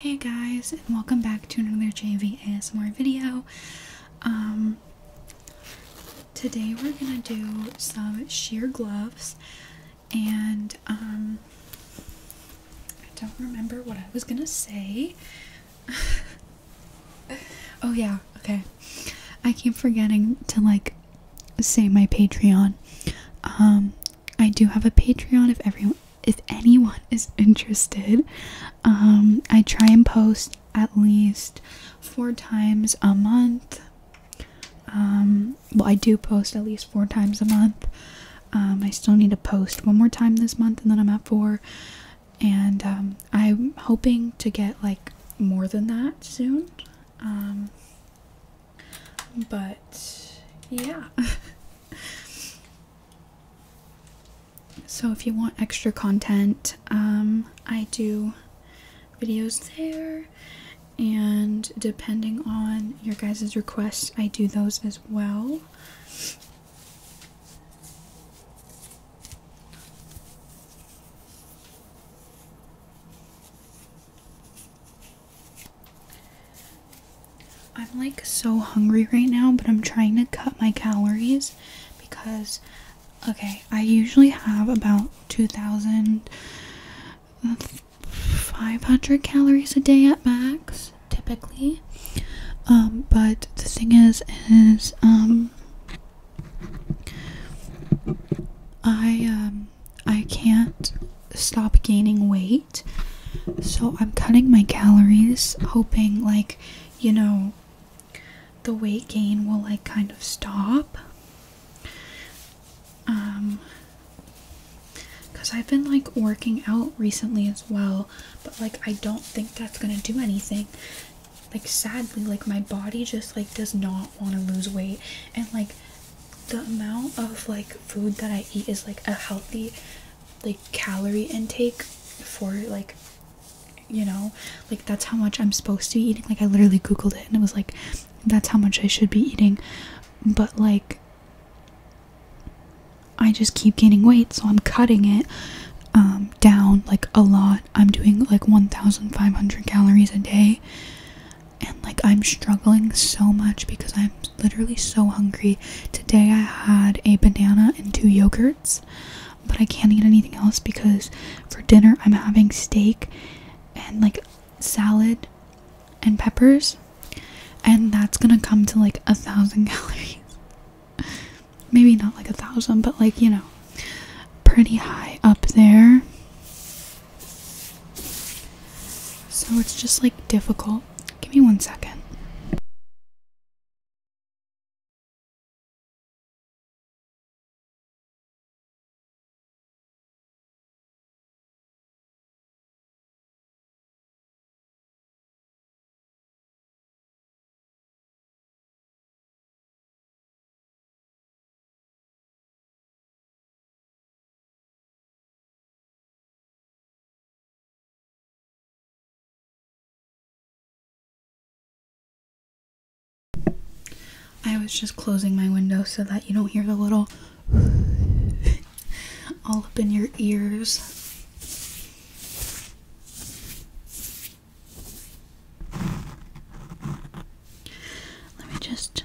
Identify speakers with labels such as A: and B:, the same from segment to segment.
A: Hey guys, and welcome back to another JV ASMR video. Um, today we're gonna do some sheer gloves, and um, I don't remember what I was gonna say. oh yeah, okay. I keep forgetting to like say my Patreon. Um, I do have a Patreon if everyone if anyone is interested. Um, I try and post at least four times a month. Um, well I do post at least four times a month. Um, I still need to post one more time this month and then I'm at four and I'm hoping to get like more than that soon. but yeah So if you want extra content, um, I do videos there, and depending on your guys' requests, I do those as well. I'm like so hungry right now, but I'm trying to cut my calories because okay, I usually have about 2500 calories a day at max typically. Um, but the thing is is um, I um, I can't stop gaining weight so I'm cutting my calories, hoping, like, you know, the weight gain will, like, kind of stop. Um, because I've been, like, working out recently as well, but, like, I don't think that's gonna do anything. Like, sadly, like, my body just, like, does not want to lose weight, and, like, the amount of like food that I eat is like a healthy like calorie intake for like you know like that's how much i'm supposed to be eating like i literally googled it and it was like that's how much i should be eating but like i just keep gaining weight so i'm cutting it um, down like a lot i'm doing like 1500 calories a day and like i'm struggling so much because i am literally so hungry. Today I had a banana and two yogurts, but I can't eat anything else because for dinner I'm having steak and like salad and peppers, and that's gonna come to like a thousand calories. Maybe not like a thousand, but like you know, pretty high up there. So it's just like difficult Give me one second. I was just closing my window so that you don't hear the little all up in your ears. Let me just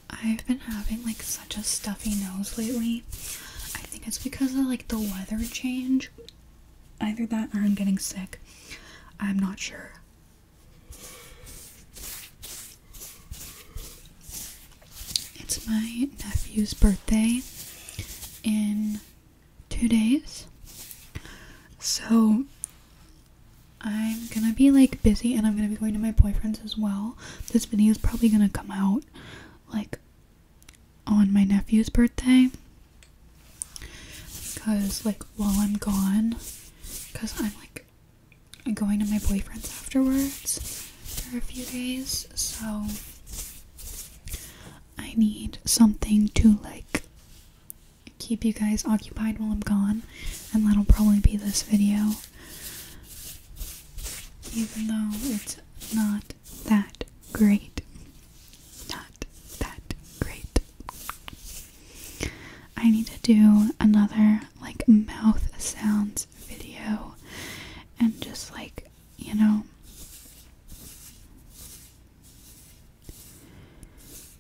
A: I've been having like such a stuffy nose lately. I think it's because of like the weather change. Either that or I'm getting sick. I'm not sure. It's my nephew's birthday in two days. So I'm gonna be like busy and I'm gonna be going to my boyfriend's as well. This video is probably gonna come out like on my nephew's birthday because like while I'm gone because I'm like going to my boyfriend's afterwards for a few days so I need something to like keep you guys occupied while I'm gone and that'll probably be this video even though it's not that great. Not that great. I need to do another like mouth sounds video and just like, you know,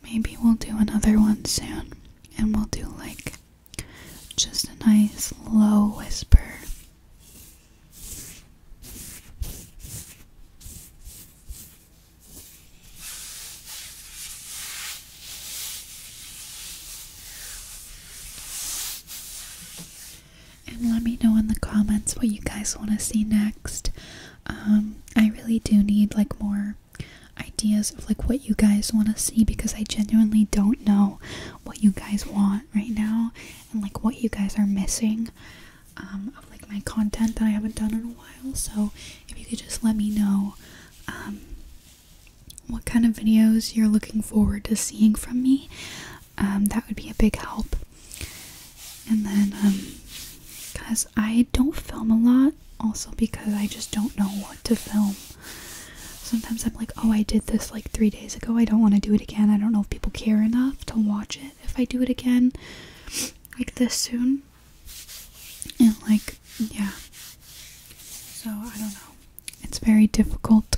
A: maybe we'll do another one soon and we'll do like just a nice low whisper. And let me know in the comments what you guys want to see next. Um, I really do need like more ideas of like what you guys want to see because I genuinely don't know what you guys want right now and like what you guys are missing um, of like my content that I haven't done in a while. So if you could just let me know um, what kind of videos you're looking forward to seeing from me, um, that would be a big help. And then, because um, I don't film a lot, also because I just don't know what to film. Sometimes I'm like, oh, I did this like three days ago. I don't want to do it again. I don't know if people care enough to watch it if I do it again like this soon. And like, yeah. So I don't know. It's very difficult.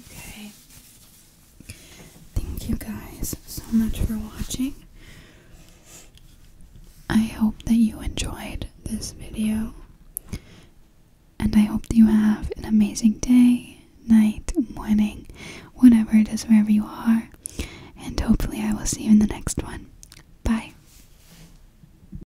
A: Okay. Thank you guys so much for watching. I hope that you enjoyed this video. And I hope you have an amazing day, night, morning, whatever it is, wherever you are. And hopefully, I will see you in the next one. Bye.